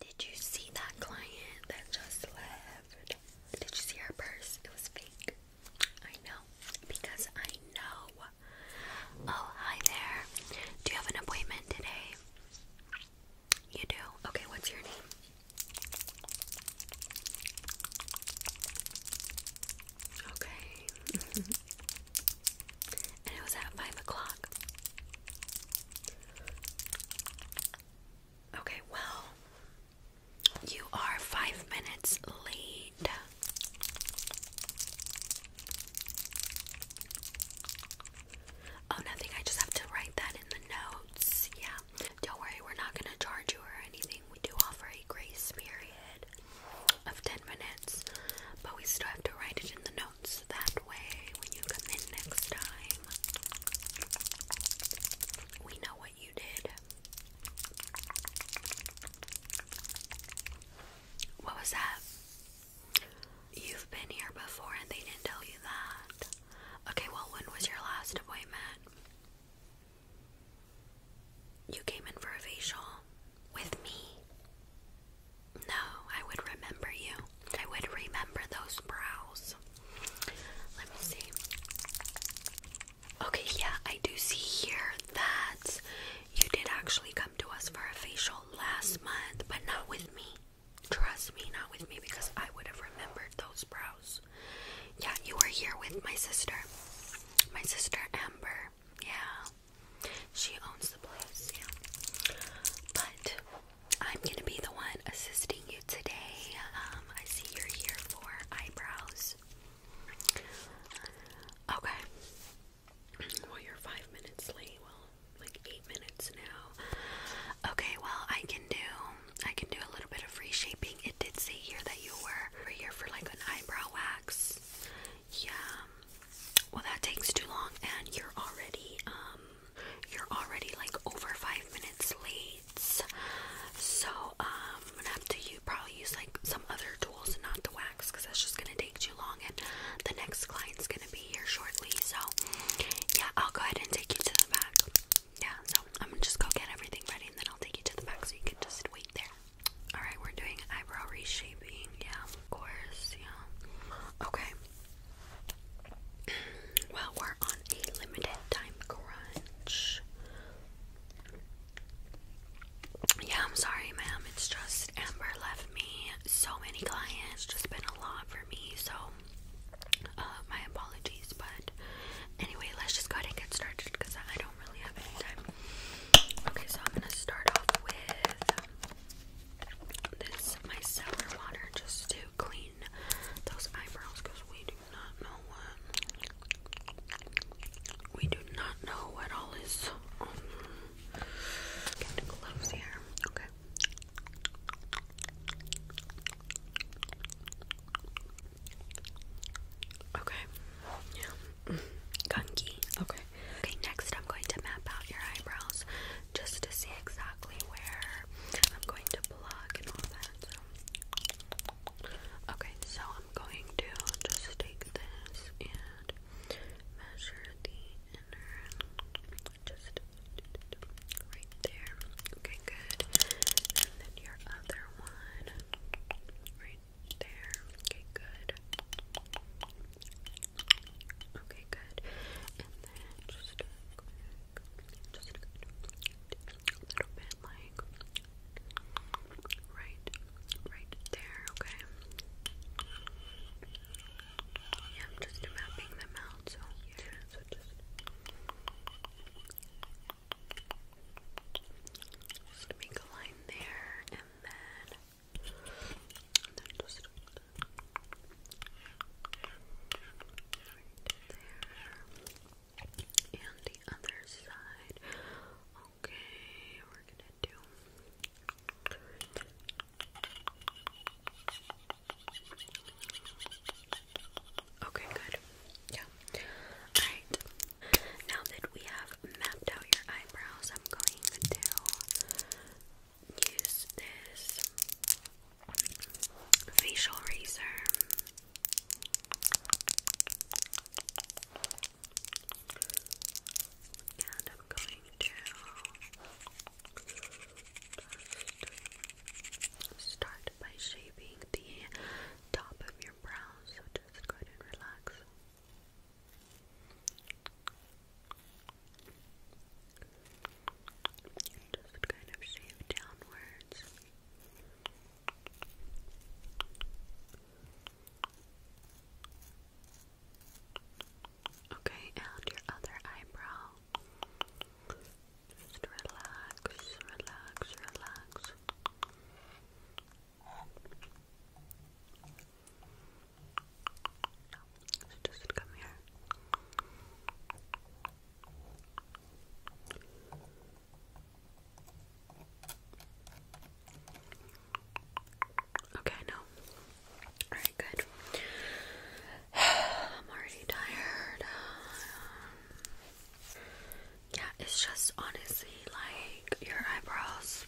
Did you see that client that just left? Did you see her purse? It was fake. I know because I know. Oh, hi there. Do you have an appointment today? You do? Okay, what's your name? Okay. and it was at five o'clock. Okay, well, you are five minutes late. Oh, nothing. I just have to write that in the notes. Yeah. Don't worry, we're not going to charge you or anything. We do offer a grace period of 10 minutes, but we still have to write it in the notes that way when you come in next time. We know what you did. What was that? You've been here before and they didn't tell you that. Okay, well, when was your last appointment? You came in for a facial with me. No, I would remember you. I would remember those brows. Let me see. Okay, yeah, I do see here that you did actually come to us for a facial last month, but not with me. Trust me, not with me because I would have remembered those brows. Yeah, you were here with my sister. My sister Amber. Yeah. She owns the place, yeah. But I'm gonna be the one assisting you today. Um, I see you're here for eyebrows. Okay. Well, you're five minutes late. Well, like eight minutes now. Okay. Well, I can do. I can do a little bit of reshaping. It did say here that you were here for like an eyebrow wax. Yeah. Well, that takes too long, and you're already um you're already like over five minutes late. So, um, I'm gonna have to you probably use like some other tools and not the wax because that's just gonna take too long. And the next client's gonna be here shortly. So, yeah, I'll go ahead and take you to the back. Yeah, so I'm gonna just go get everything ready and then I'll take you to the back so you can just wait there. Alright, we're doing eyebrow reshaping. Yeah, of course. Yeah. Okay, well, we're on a limited time crunch. Yeah, I'm sorry, ma'am. It's just Amber left me so many clients, just been a lot for me. So, uh, my apologies. But anyway, let's just go and get started because I don't really have any time. Okay, so I'm gonna start off with this my water just to clean those eyebrows we do not know what we do not know what all is getting close here. Okay. Okay. Yeah. Mm, gunky. Okay. Okay, next I'm going to map out your eyebrows just to see exactly where I'm going to plug and all that. So. Okay, so I'm going to just take this and measure the inner just right there. Okay, good. And then your other one right there. Okay, good. Okay, good. And then just a little bit like right, right there, okay? Yeah, just mapping them out, so yeah, so just just make a line there, and then and then the other side. Okay, we're gonna do Okay, good. Yeah. Alright. Now that we have mapped out your eyebrows, I'm going to use this facial razor. And I'm going to start by shaving the top of your brows, so just go ahead and relax. Just kind of shave downwards. Okay, and your other eyebrow. Just relax, relax, relax just come here. Okay, no. Alright, good. I'm already tired. Um, yeah, it's just honestly like your eyebrows.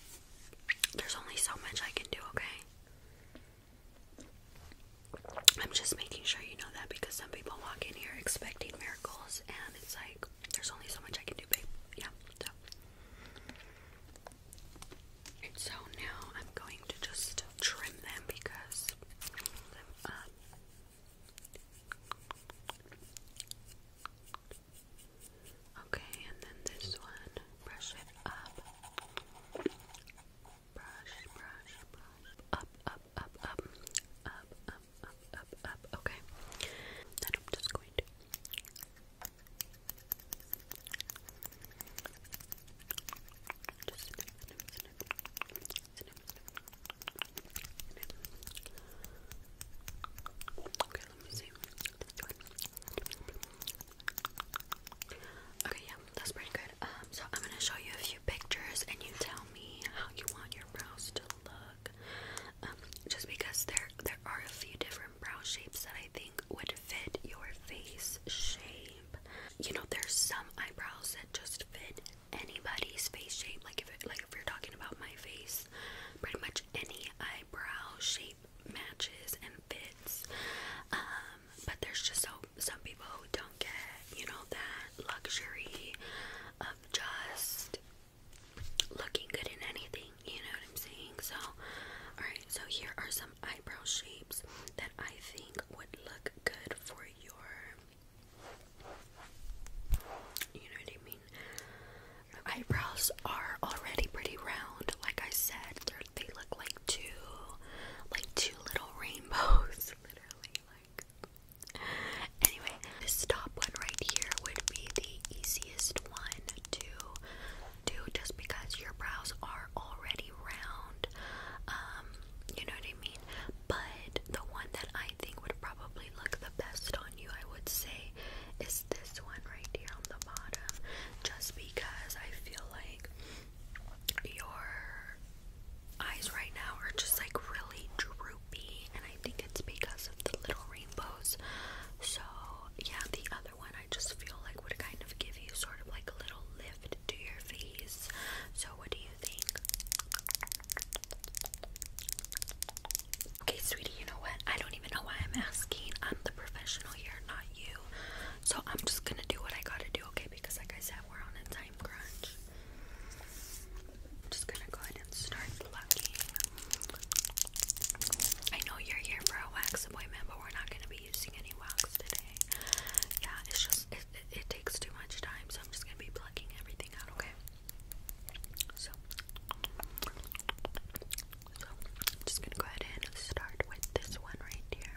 There's only so much I can do, okay? I'm just making sure you know that because some people walk in here expecting miracles, and it's like there's only so much I can do, babe. Yeah. So, now I'm going to just trim them because um, Okay, and then this one, brush it up brush, brush, brush. Up, up, up, up. Up, up, up, up, up. Okay. Then I'm just going to. Just snip, snip, snip. Snip, snip. Snip. Okay, let me see. This one. Okay, yeah, that's pretty good. Um, so I'm gonna show you a few pictures, and you tell me how you want your brows to look. Um, just because there there are a few different brow shapes that I think would fit your face shape. You know, there's some eyebrows that just fit anybody's face shape. Like if like if you're talking about my face, pretty much any eyebrow shape matches and fits. Um, um, but there's just so some people who don't get, you know, that luxury of just looking good in anything, you know what I'm saying? So, alright, so here are some eyebrow shapes that I think would look good for your you know what I mean? Eyebrows are already pretty round, like I said, they look like two, like two little rainbows, literally. Like, anyway, this top one right here would be the easiest one to do, just because your brows are already round. Um, you know what I mean. But the one that I think would probably look the best on you, I would say, is this one right here on the bottom, just because I feel like your eyes right now are just like really droopy, and I think it's because of the little rainbows. So, yeah, the other one I just feel like would kind of give you sort of like a little lift to your face. So, what do you think? Okay, sweetie, you know what? I don't even know why I'm asking. I'm the professional here, not you. So I'm just gonna do what I gotta do, okay? Because like I said, we're on a time crunch. I'm just gonna go ahead and start plucking. I know you're here for a wax appointment, but we're not gonna be using any wax today. Yeah, it's just it, takes too much time, so I'm just gonna be plucking everything out, okay? So, just gonna go ahead and start with this one right here.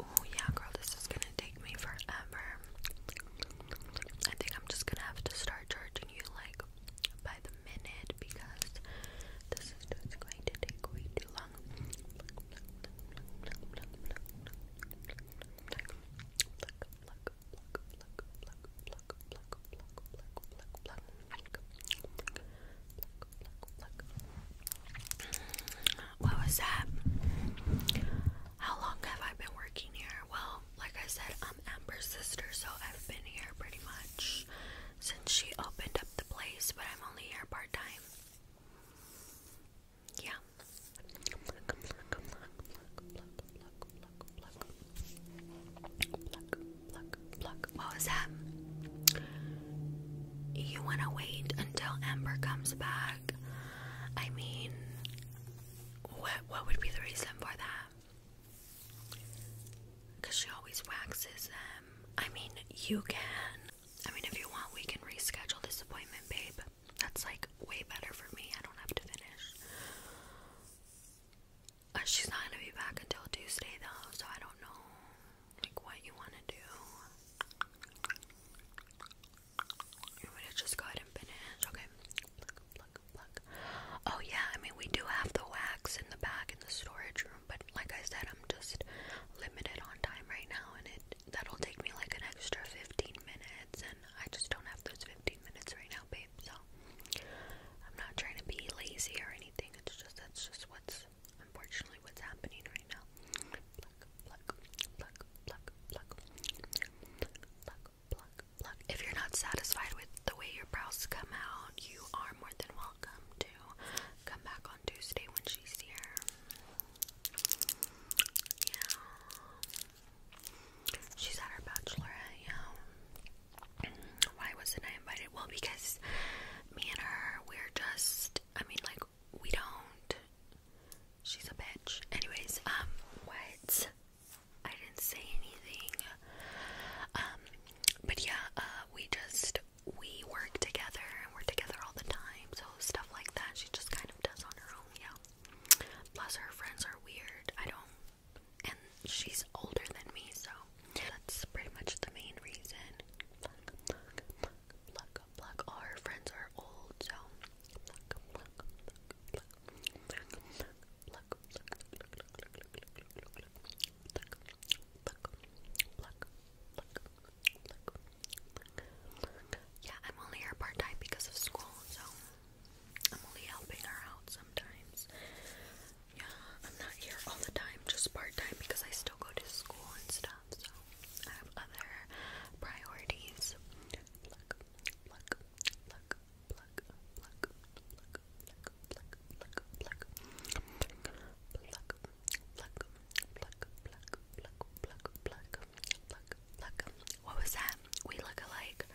Oh yeah, girl, this is gonna take me forever. I think I'm just gonna have to start charging you like by the minute because this is just going to take way too long. What was that? How long have I been working here? Well, like I said, I'm Amber's sister, so I've been here pretty much since she opened up the place, but I'm only here part time. Yeah. Pluck, What was that? You want to wait until Amber comes back? I mean, what what would be the reason for that? Because she always waxes them. Um, I mean, you can. I mean, if you want, we can reschedule this appointment, babe. That's like way better for me. I don't have to finish. Uh, she's not gonna be back until Tuesday though, so I don't know like what you wanna do. You want to just go ahead and finish? Okay. Pluck, pluck, pluck. Oh yeah, I mean we do have the wax in the back in the storage room, but like I said, I'm just limited on time right now and it that'll take me like an extra 15 minutes and I just don't have those 15 minutes right now, babe so I'm not trying to be lazy or anything. It's just that's just what's unfortunately what's happening right now. If you're not satisfied with the way your brows come out, you are more than welcome to come back on Tuesday when she's here. Yeah. She's at her bachelorette, yeah. Why wasn't I invited? Well, because me and her, we're just, I mean, like, we don't. She's a bitch. Anyways, um, what? I didn't say anything. Um, but yeah, uh, we just, we work together and we're together all the time. So stuff like that, she just kind of does on her own, yeah. Plus, her friends are weird. I don't, and she's older than me, so that's pretty much the main reason. All her friends are old, so Yeah, I'm only here part time because of school, so I'm only helping her out sometimes. Yeah, I'm not here all the time, just part time because I still go to school and stuff, so I have other priorities. Pluck, pluck, pluck, pluck, pluck, pluck, pluck, pluck, pluck, pluck, pluck, pluck, pluck, pluck, pluck, pluck, pluck, pluck, pluck. What was that? We look alike.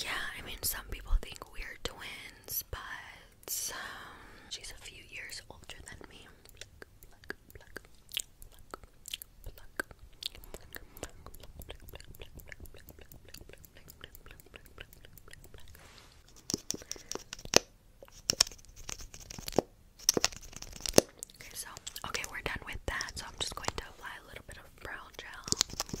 Yeah, I mean, some people think we're twins but um, she's a few years older than me. Okay, so okay, we're done with that. So I'm just going to apply a little bit of brow gel.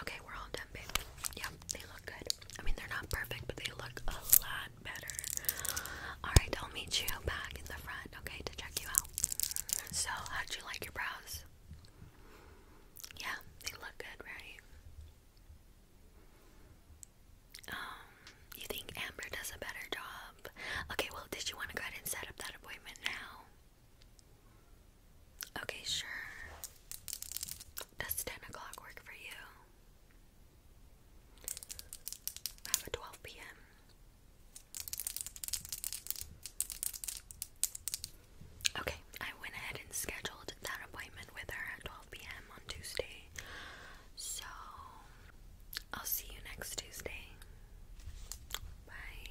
Okay, we're all done, baby. Yep, they look good. I mean, they're not perfect, but they look a lot better. Alright, I'll meet you back in the front, okay, to check you out. So, how'd you like your brows? Yeah, they look good, right? Um, you think Amber does a better job? Okay, well, did you want to go ahead and set up that appointment now? Okay, sure. Does 10 o'clock work for you? I have 12 p.m. Okay, I went ahead and scheduled that appointment with her at 12 p.m. on Tuesday. So, I'll see you next Tuesday. Bye.